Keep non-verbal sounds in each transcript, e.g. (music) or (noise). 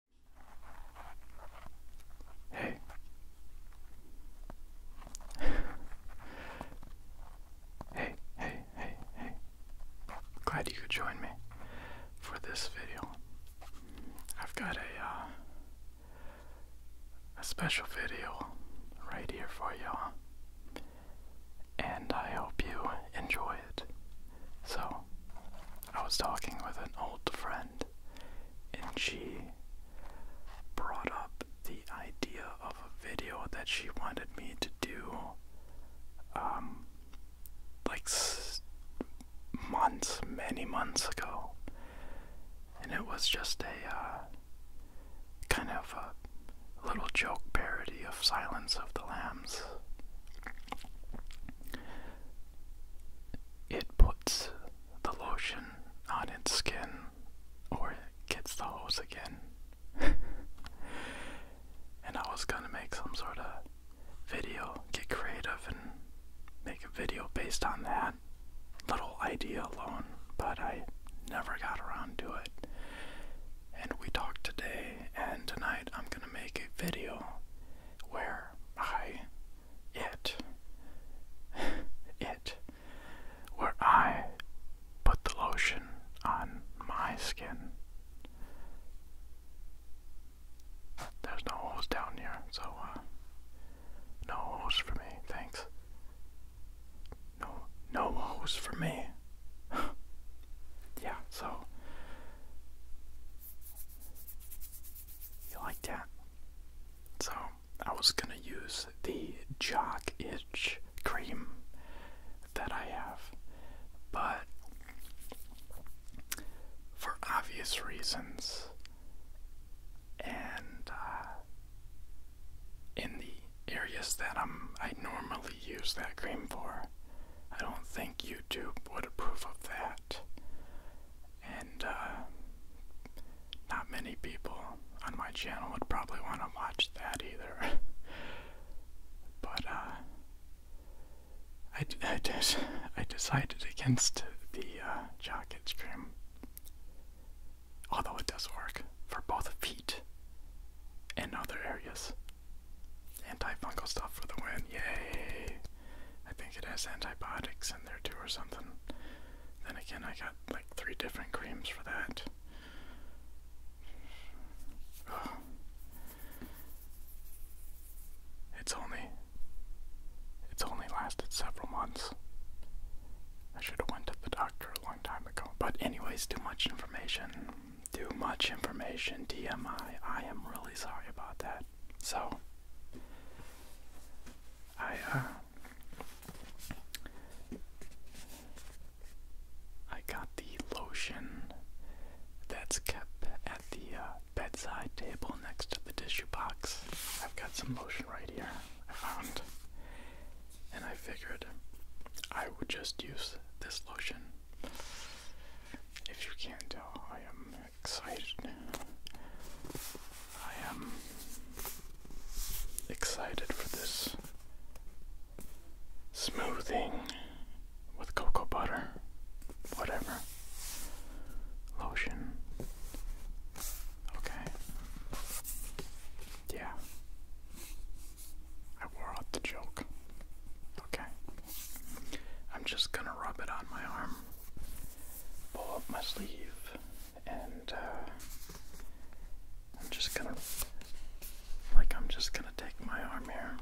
(laughs) Hey. hey, hey, hey, Glad you could join me for this video. I've got a uh, a special video right here for y'all. And I hope you enjoy it. So, I was talking with an old friend, and she brought up the idea of a video that she wanted me to do, um, like months, many months ago. And it was just a, uh, kind of a little joke parody of Silence of the Lambs it puts the lotion on its skin or it gets the hose again. (laughs) and I was gonna make some sort of video, get creative and make a video based on that little idea alone, but I never got around to it. And we talked today, and tonight I'm gonna make a video where I, it, it, where I put the lotion on my skin. There's no hose down here, so, uh, no hose for me, thanks. No, no hose for me. (laughs) yeah, so, you like that? So I was gonna use the jock itch cream that I have, but for obvious reasons, and uh, in the areas that I'm I normally use that cream for, I don't think YouTube would approve of that. And uh, not many people on my channel would probably want to watch that either. (laughs) but uh, I, I, decided against the uh, Jocket Stream. Although it does work for both feet and other areas. Antifungal stuff for the win. Yay! I think it has antibiotics in there too or something. Then again, I got like three different creams for that. It's only it's only lasted several months. I should have went to the doctor a long time ago. But anyways, too much information too much information, DMI. I am really sorry about that. So, I, uh, I got the lotion that's kept at the uh, bedside table next to the tissue box. I've got some lotion right here I found, and I figured I would just use this lotion if you can't tell, I am excited. I am excited for this smoothing with cocoa butter, whatever, lotion. Okay. Yeah. I wore out the joke. Okay. I'm just gonna rub it on my arm, pull up my sleeve, and uh, I'm just gonna, like, I'm just gonna take my arm here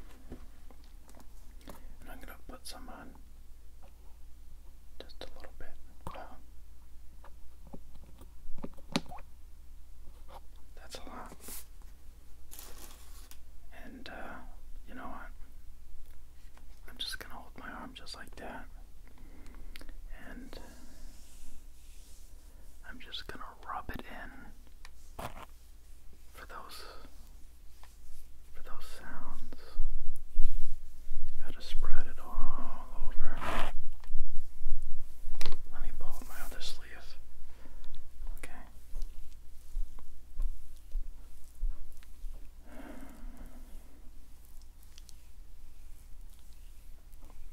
and I'm gonna put some on just a little bit. that's a lot. And uh, you know what? I'm just gonna hold my arm just like that. And I'm just gonna rub it in for those for those sounds. Gotta spread it all over. Let me pull up my other sleeve. Okay.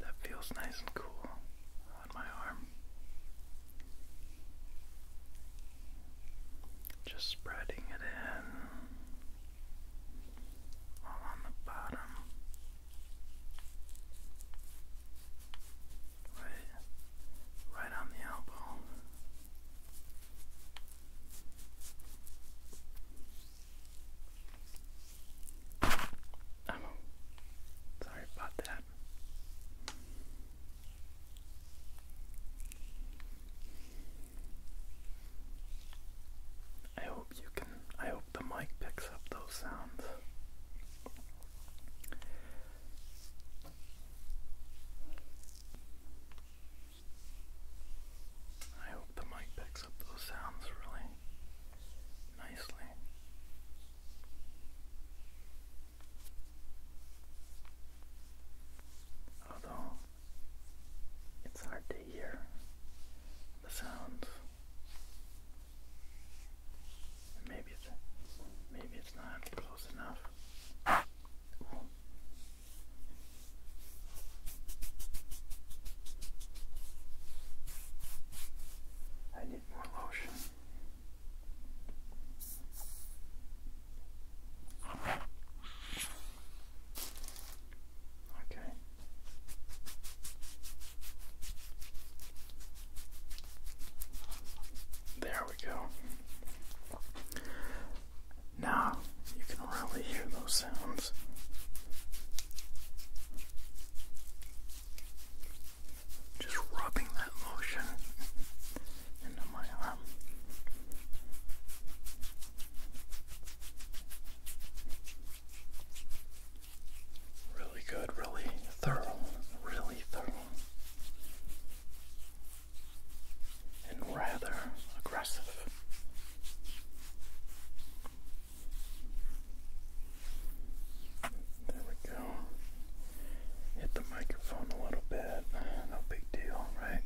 That feels nice and cool on my arm. Just spreading it in all on the bottom. Right, right on the elbow. Oh, sorry about that. I hope you can I hope the mic picks up those sounds. I hope the mic picks up those sounds really nicely. Although it's hard to hear the sounds Maybe it's maybe it's not close enough. I need more lotion. Okay. There we go. Now you can really hear those sounds. Just rubbing that lotion into my arm. Really good, really thorough, really thorough, and rather aggressive. There we go. Hit the microphone a little bit. No big deal, right?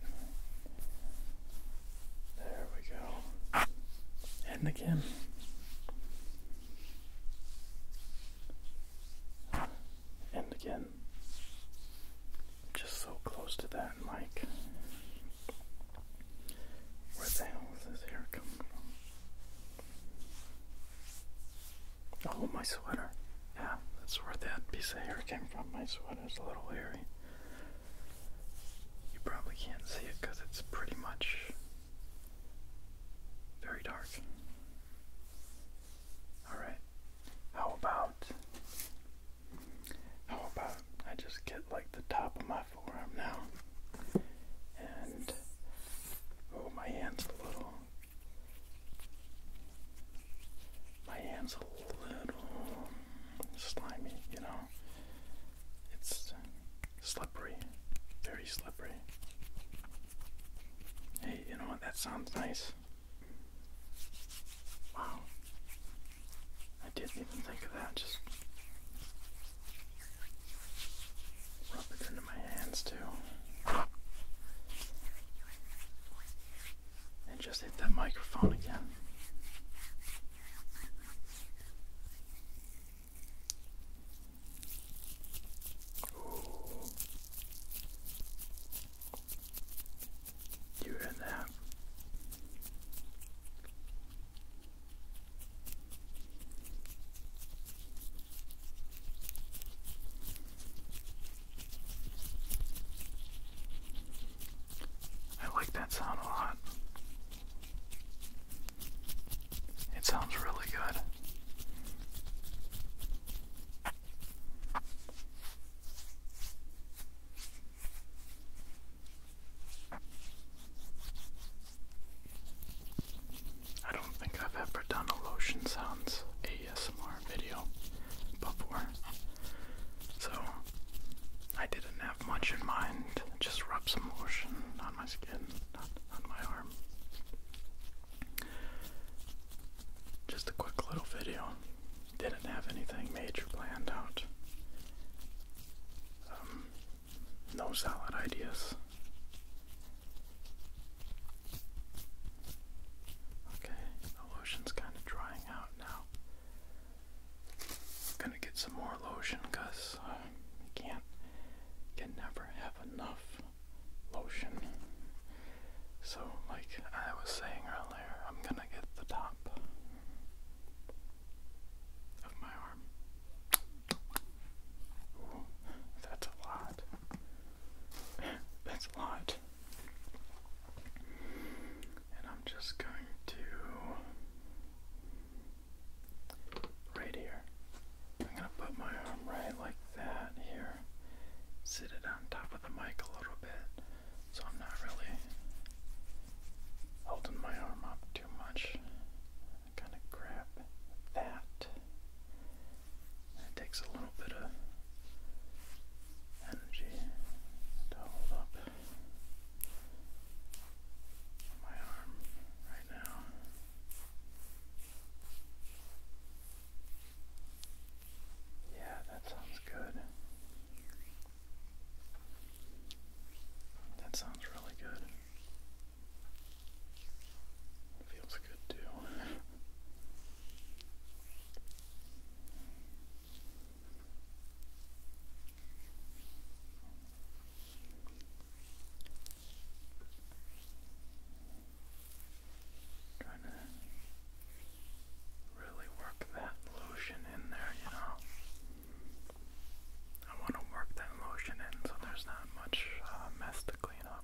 There we go and again. And again. Just so close to that mic. Where the hell is this hair coming from? Oh, my sweater. Yeah, that's where that piece of hair came from. My sweater's a little hairy. You probably can't see it because it's pretty much very dark. Alright, how about. How about I just get like the top of my forearm now? And. Oh, my hand's a little. My hand's a little slimy, you know? It's slippery, very slippery. Hey, you know what? That sounds nice. Wow. I didn't even think of that. Just rub it into my hands too. And just hit that microphone again. Ooh. You heard that? I like that sound a lot. It sounds really good. I don't think I've ever done a lotion sounds ASMR video before, so I didn't have much in mind. Just rub some lotion on my skin, not on my arm. Just a quick little video. Didn't have anything major planned out. Um, no solid ideas. Okay, the lotion's kind of drying out now. Gonna get some more lotion because I uh, can't, can never have enough lotion. So, like I was saying earlier, I'm gonna get the top of my arm. Ooh, that's a lot. (laughs) That's a lot. And I'm just going to right here. I'm gonna put my arm right like that here. Sit it on top of the mic a little bit. So I'm not really holding my arm up too much. I'm grab that. It takes a little bit of energy to hold up my arm right now. Yeah, that sounds good. That sounds really good. Feels good too. (laughs) Trying to really work that lotion in there, you know. I want to work that lotion in so there's not much uh, mess to clean up.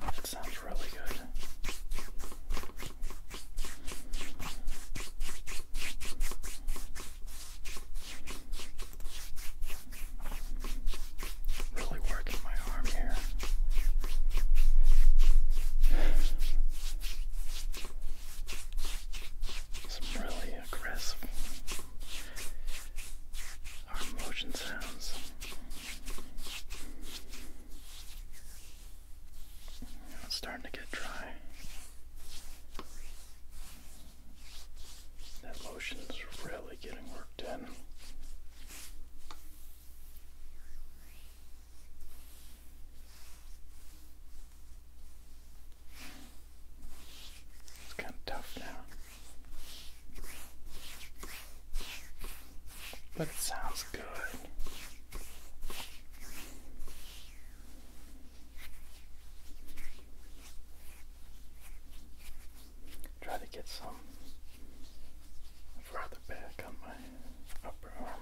That sounds really good. Really working my arm here. Some really aggressive arm motion sounds. It's starting to get dry. That motion is really getting worked in. It's kind of tough now. But it sounds good. Try to get some further back on my upper arm. Wow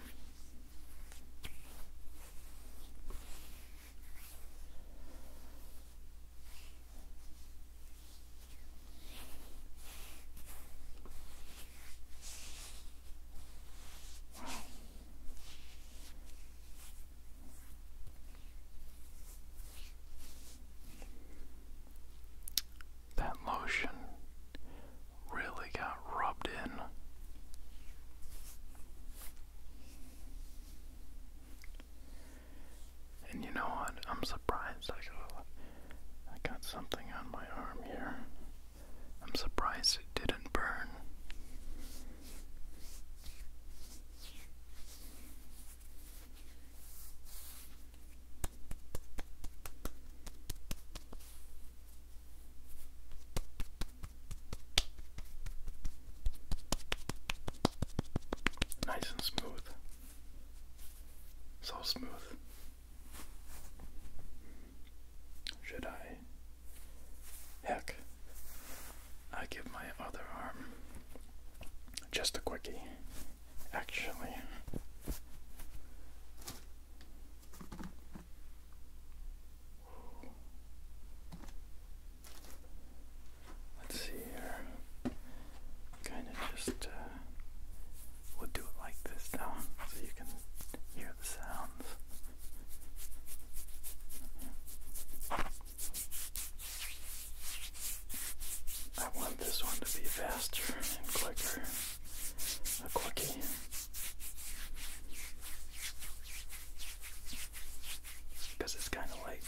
that lotion really got rubbed in. And you know what? I'm surprised I got, something on my arm here. I'm surprised it didn't burn. Nice and smooth. So smooth. Should I? Heck, I give my other arm just a quickie actually. Let's see here. Kind of just, uh, we'll do it like this now so you can hear the sounds. I want this one to be faster and quicker. A quickie. Because it's kind of late.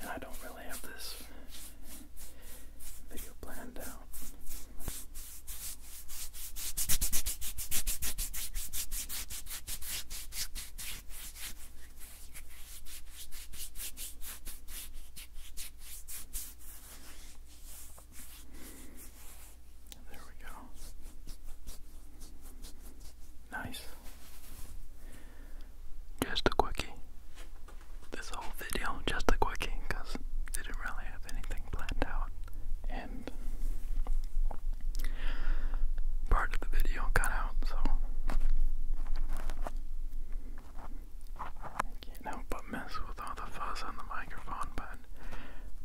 And I don't really have this video planned out. There we go. Nice. Just a quickie. This whole video, just a quickie, because didn't really have anything planned out. And part of the video cut out, so I can't help but mess with all the fuzz on the microphone, but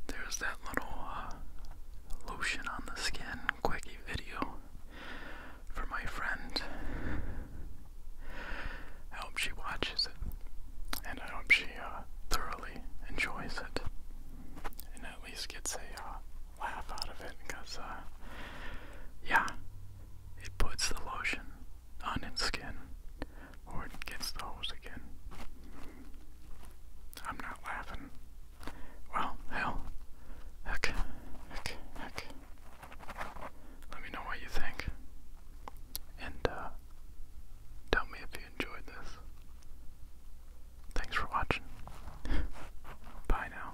there's that little uh, lotion on the skin quickie video for my friend. I hope she watches it, and I hope she uh, thoroughly enjoys it, and at least gets a uh, laugh out of it, because, yeah, it puts the lotion on its skin, or it gets the hose again. I'm not laughing. Well, hell. Heck, heck, heck. Let me know what you think. And, uh, tell me if you enjoyed this. Thanks for watching. Bye now.